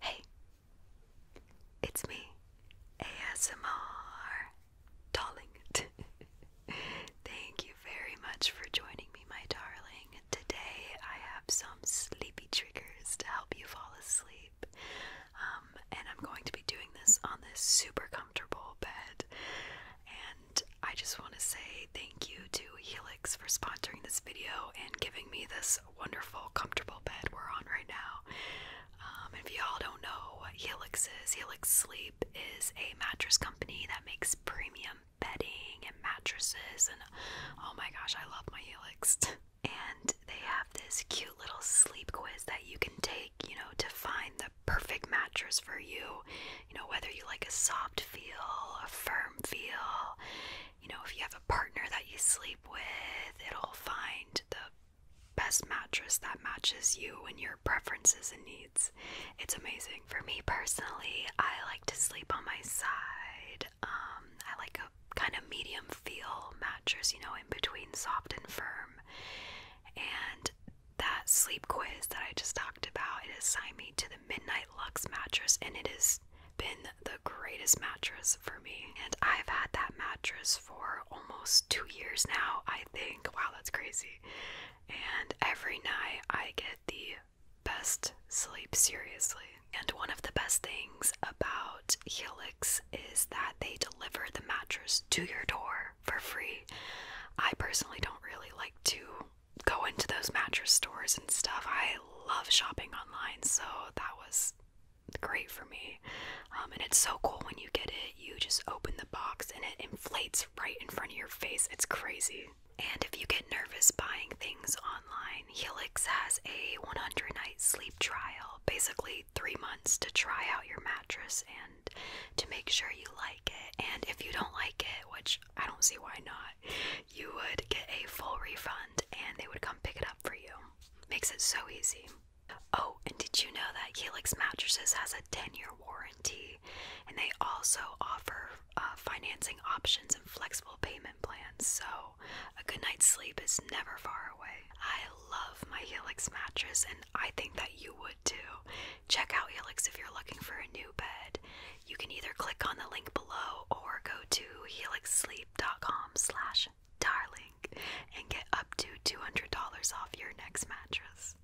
Hey, it's me, ASMR Darling. Thank you very much for joining me, my darling. Today I have some sleepy triggers to help you fall asleep. Um, and I'm going to be doing this on this super comfortable bed. And I just want to say thank you to Helix for sponsoring this video and giving me this wonderful, comfortable bed we're on right now. Um, if y'all don't know what Helix is, Helix Sleep is a mattress company that makes premium bedding and mattresses. And oh my gosh, I love my Helix. and they have this cute little sleep quiz that you can take, you know, to find the perfect mattress for you. You know, whether you like a soft feel, a firm feel, you know, if you have a partner that you sleep with, it'll find the best mattress that matches you and your preferences and needs. It's amazing. For me personally, I like to sleep on my side. Um, I like kind of medium feel mattress, you know, in between soft and firm. And that sleep quiz that I just talked about, it assigned me to the Midnight Lux mattress, and it has been the greatest mattress for me. And I've had that mattress for almost two years now, I think. Wow, that's crazy. And every night I get the best sleep, seriously. And one of the best things about Helix is that they deliver the mattress to your door for free. I personally don't really like to go into those mattress stores and stuff. I love shopping online, so that was great for me. Um, and it's so cool when you get it, you just open the box and it inflates right in front of your face. It's crazy. And if you get nervous buying things online, Helix has a 100 night sleep trial. Basically, three months to try out your mattress and to make sure you like it. And if you don't like it, which I don't see why not, you would get a full refund and they would come pick it up for you. Makes it so easy. Oh, and did you know that Helix Mattresses has a 10 year warranty and they also offer uh, financing options and flexible payment plans? So a good night's sleep is never far away. I love my Helix mattress, and I think that you would too. Check out Helix if you're looking for a new bed. You can either click on the link below or go to helixsleep.com/darling and get up to $200 off your next mattress.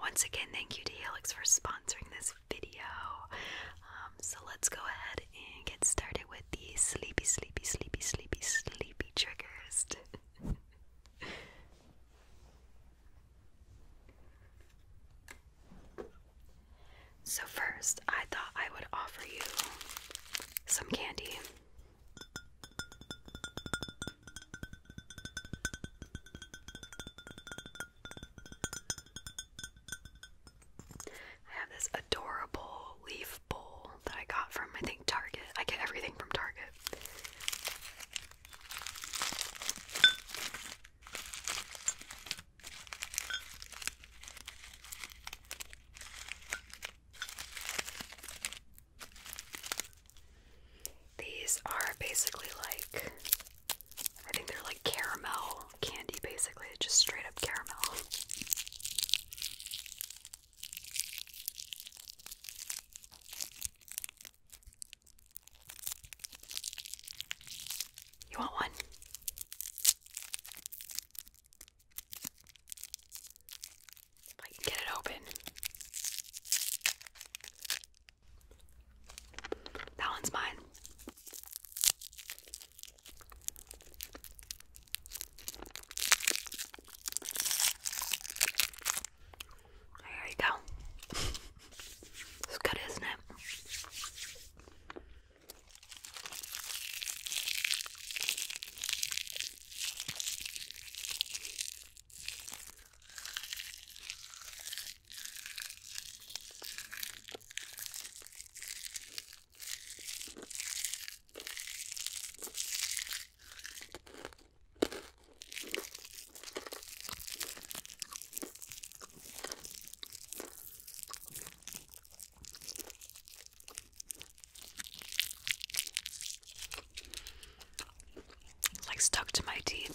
Once again, thank you to Helix for sponsoring this video. Um, so let's go ahead and get started with these sleepy, sleepy, sleepy, sleepy, sleepy triggers. so, first, I thought I would offer you some candy. I have this adorable leaf bowl that I got from, I think, Target. I get everything from Target. These are basically like, I think they're like caramel candy, basically. just straight up caramel. You want one? If I can get it open. That one's mine. There you go. it's good, isn't it? It's like stuck to my teeth.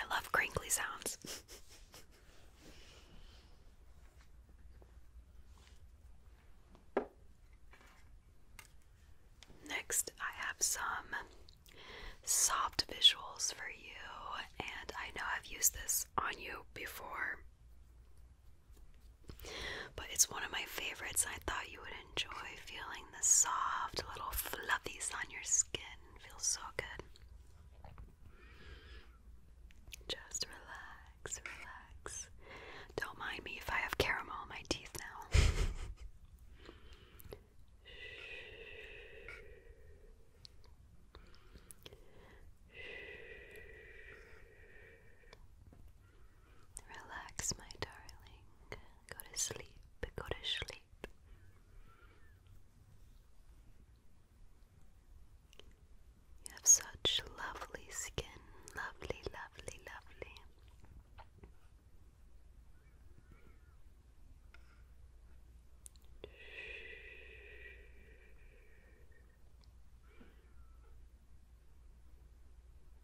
I love crinkly sounds. Next, I have some soft visuals for you, and I know I've used this on you before. But it's one of my favorites. I thought you would enjoy feeling the soft little fluffies on your skin. Feels so good. Just relax, relax. Don't mind me if I have caramel on my teeth now. Relax, my darling. Go to sleep. Go to sleep. You have such lovely skin. Lovely, lovely, lovely.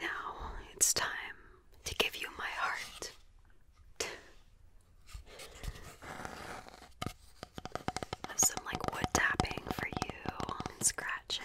now it's time to give you my heart. Have some like wood tapping for you and scratching.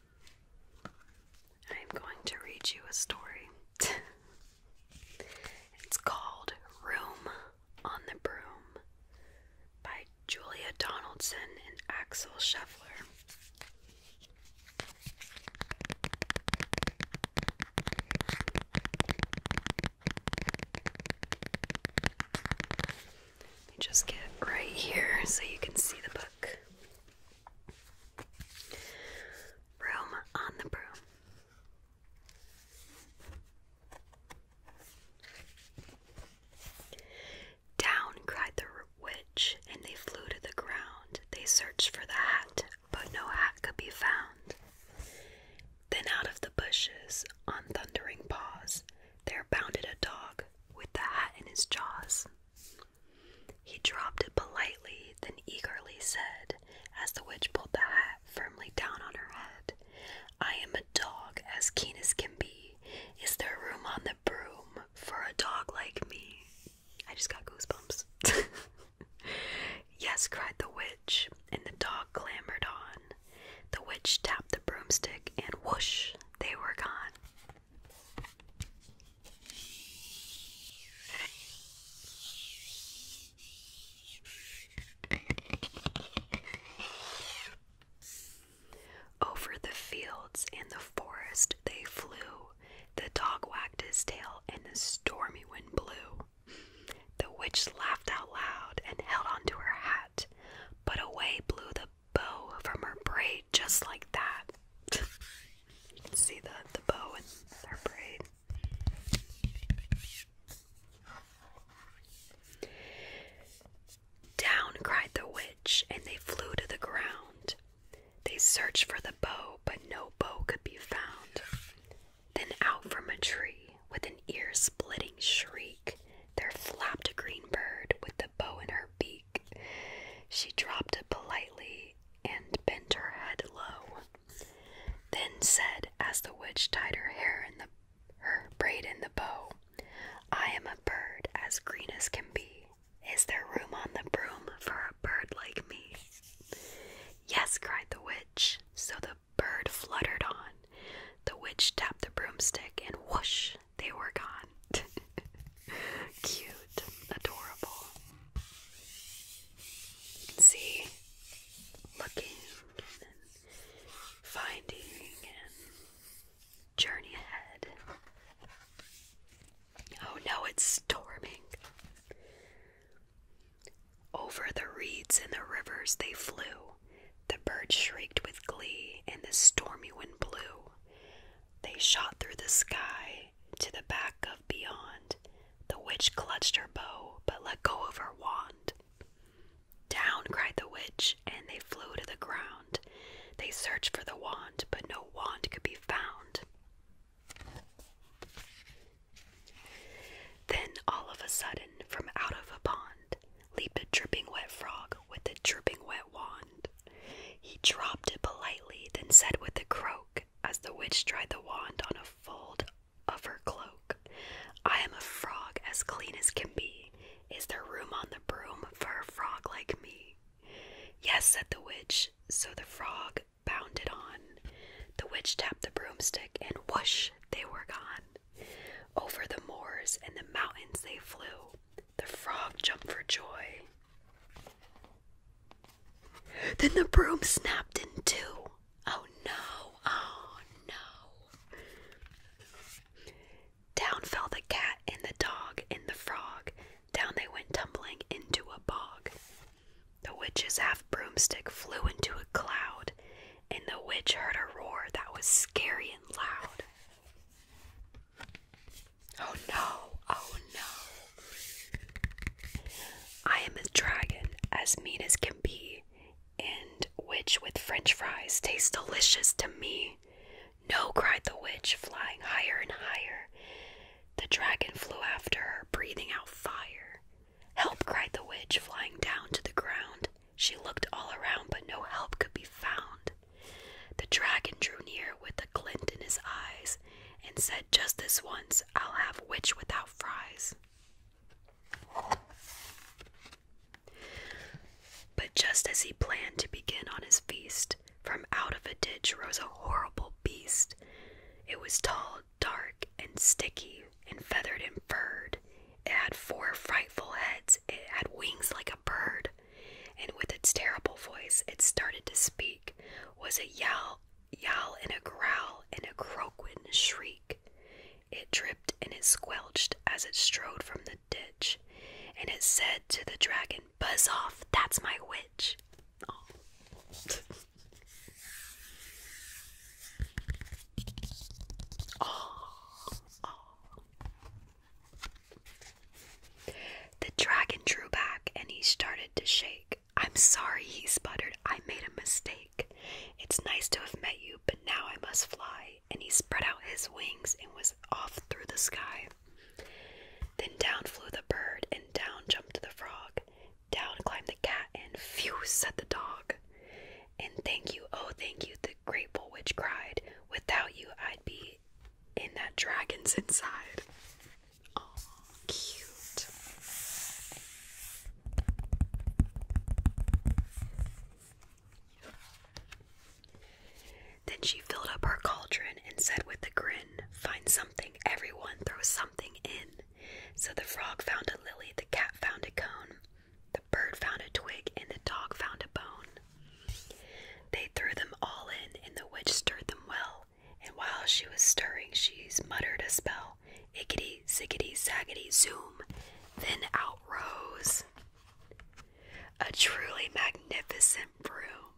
I am going to read you a story. it's called Room on the Broom by Julia Donaldson and Axel Scheffler. Let me just get right here so you can see the book. Room on the broom. Down, cried the witch, and they flew to the ground. They searched for the hat, but no hat could be found. Then out of the bushes, on thundering paws, there bounded a dog with the hat in his jaws. He dropped it politely, then eagerly said, as the witch pulled the hat firmly down on her head, I am a dog as keen as can be. Is there room on the broom for a dog like me? I just got goosebumps. yes, cried the witch, and the dog clambered on. The witch tapped the broomstick, and whoosh, they were gone. Over the fields and the forest they flew. The dog wagged his tail, and the stormy wind blew. The witch laughed out loud and held onto her hat, but away blew the bow from her braid just like that. See the, the bow in her braid. Down cried the witch, and they flew to the ground. They searched for the bow, but no bow could be found. Then out from a tree, with an ear splitting shriek, there flapped a green bird with the bow in her beak. She dropped it politely and bent her head low. Then said, as the witch tied her hair in the her braid in the bow, I am a bird as green as can be. Is there room on the broom for a bird like me? Yes, cried the witch. So the bird fluttered on. The witch tapped the broomstick, and whoosh, they were gone. Cute, adorable. See, looking and finding and journey ahead. Oh no, it's storming. Over the reeds and the rivers they flew. The birds shrieked with glee, and the stormy wind blew. They shot through the sky to the back of beyond. The witch clutched her bow, but let go of her wand. Down, cried the witch, and they flew to the ground. They searched for the wand, but no wand could be found. Then, all of a sudden, from out of a pond, leaped a dripping wet frog with a dripping wet wand. He dropped it politely, then said with a croak, as the witch dried the wand on a fold of her cloak, I am a frog as clean as can be. Is there room on the broom for a frog like me? Yes, said the witch, so the frog bounded on. The witch tapped the broomstick, and whoosh, they were gone. Over the moors and the mountains they flew. The frog jumped for joy. Then the broom snapped in two. Oh no, oh no. Down fell the cat and the dog and the frog. Down they went tumbling into a bog. The witch's half broomstick flew into a cloud, and the witch heard a roar that was scary and loud. Oh no, oh no. I am a dragon, as mean as can be, and which with french fries tastes delicious to me. No, cried the witch, flying higher and higher. The dragon flew after her, breathing out fire. Help, cried the witch, flying down to the ground. She looked all around, but no help could be found. The dragon drew near with a glint in his eyes and said, Just this once, I'll have witch without fries. But just as he planned to begin on his feast, from out of a ditch rose a horrible beast. It was tall, dark, and sticky, and feathered and furred. It had four frightful heads, it had wings like a bird, and with its terrible voice it started to speak was a yowl yowl and a growl and a croaking shriek it dripped and it squelched as it strode from the ditch and it said to the dragon buzz off that's my witch the dragon drew back and he started to shake. I'm sorry, he sputtered. I made a mistake. It's nice to have met you, but now I must fly. And he spread out his wings and was off through the sky. Then down flew the bird, and down jumped the frog. Down climbed the cat, and phew, said the dog. And thank you, oh, thank you, the grateful witch cried. Without you, I'd be in that dragon's inside. Oh, cute. Then she filled up her cauldron and said with a grin, Find something, everyone, throw something in. So the frog found a lily, the cat found a cone, the bird found a twig, and the dog found a bone. They threw them all in, and the witch stirred them well. And while she was stirring, she muttered a spell "Ickity zickety, zaggety, zoom. Then out rose a truly magnificent broom,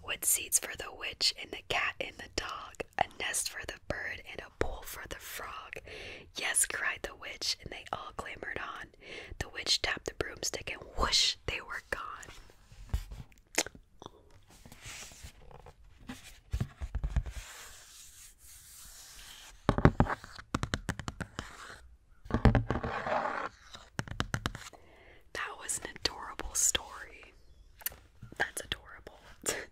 with seats for the witch and the cat and the dog, a nest for the bird, and a pool for the frog. Yes, cried the witch, and they all clambered on. The witch tapped the broomstick, and whoosh, they were gone. That was an adorable story. That's adorable.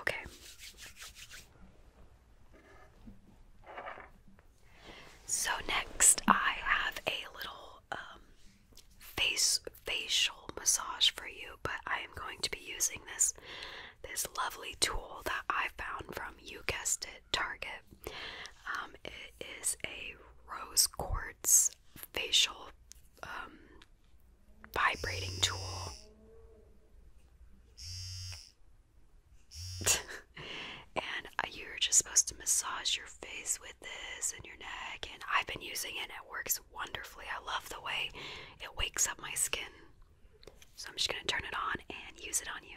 Okay. So next I have a little um, face facial massage for you, but I am going to be using this this lovely tool that I found from you guessed it, Target. Um, it is a rose quartz facial um, vibrating tool. and uh, you're just supposed to massage your face with this and your neck. And I've been using it, it works wonderfully. I love the way it wakes up my skin. So I'm just going to turn it on and use it on you.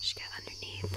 Just get underneath.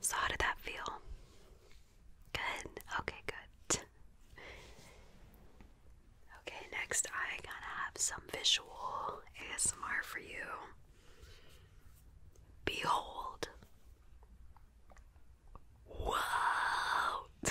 So, how did that feel? Good. Okay, good. Okay, next I gotta have some visual ASMR for you. Behold. Whoa.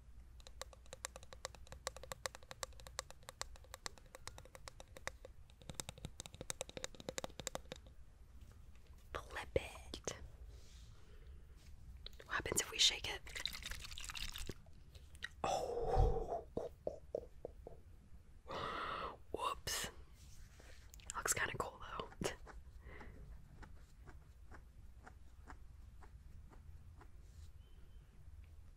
Flip it. What happens if we shake it? Oh. Whoops. Looks kind of cool though.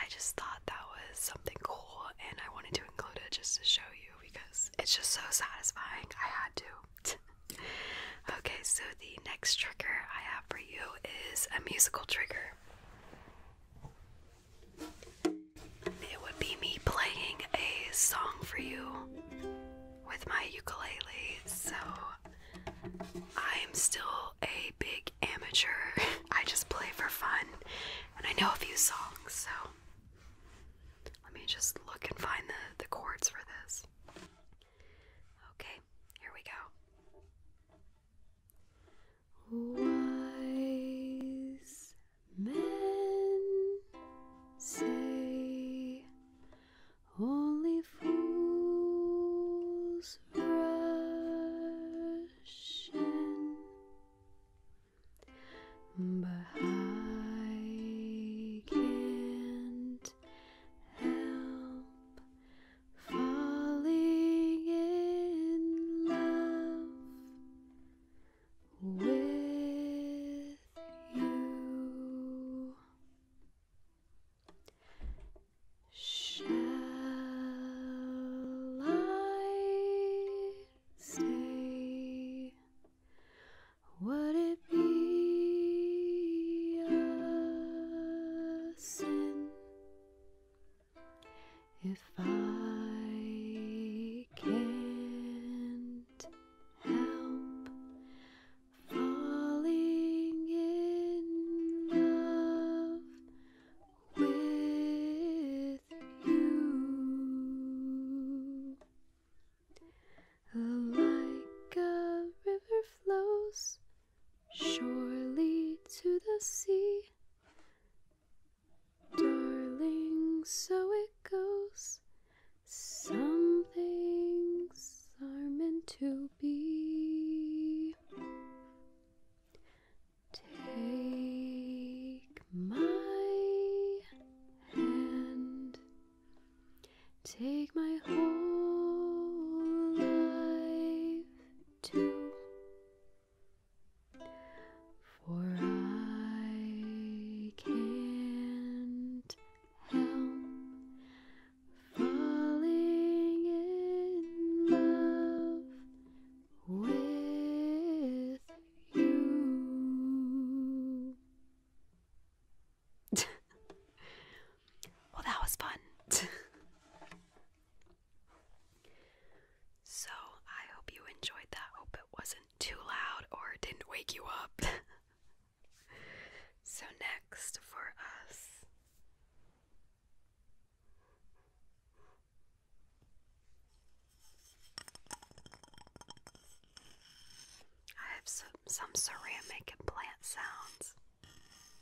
I just thought that was something cool and I wanted to include it just to show you because it's just so satisfying. I had to. okay, so the next trigger I have for you is a musical trigger. It would be me playing a song for you with my ukulele, so I'm still a big amateur. I just play for fun, and I know a few songs, so let me just look and find the, the chords for this. Okay, here we go. Wise men say only fools rush in, but I can't help falling in love with you. Shall I say, would it be a sin if I can't help falling in love with you, like a river flows surely to the sea. Darling, so it goes. Some things are meant to be. Take my hand, take my whole life for I can't help falling in love with you. well, that was fun. So, I hope you enjoyed that. Hope it wasn't too loud or didn't wake you up. so, next for us. I have some, some ceramic and sounds.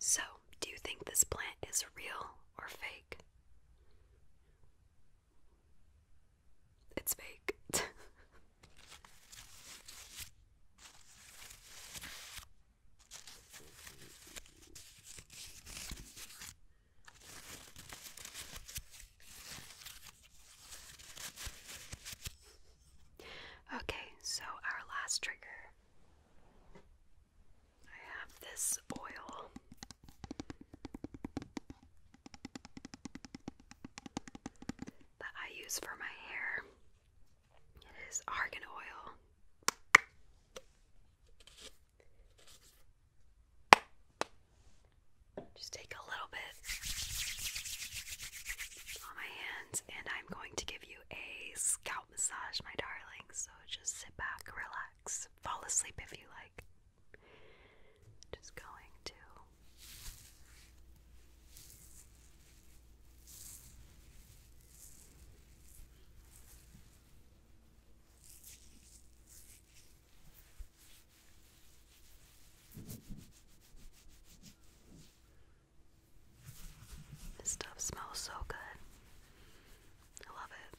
So, do you think this plant is real or fake? It's fake. Okay, so our last trigger. I have this oil that I use for my hair. It is argan oil. Just take a little bit on my hands, and I'm going to give you a scalp massage, my darling. So just sit back, relax, fall asleep if you like. Just going to this stuff smells so good. I love it.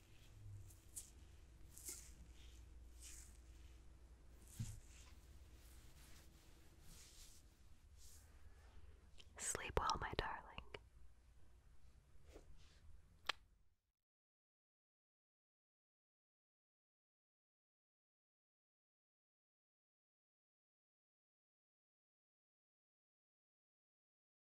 Sleep well, my darling.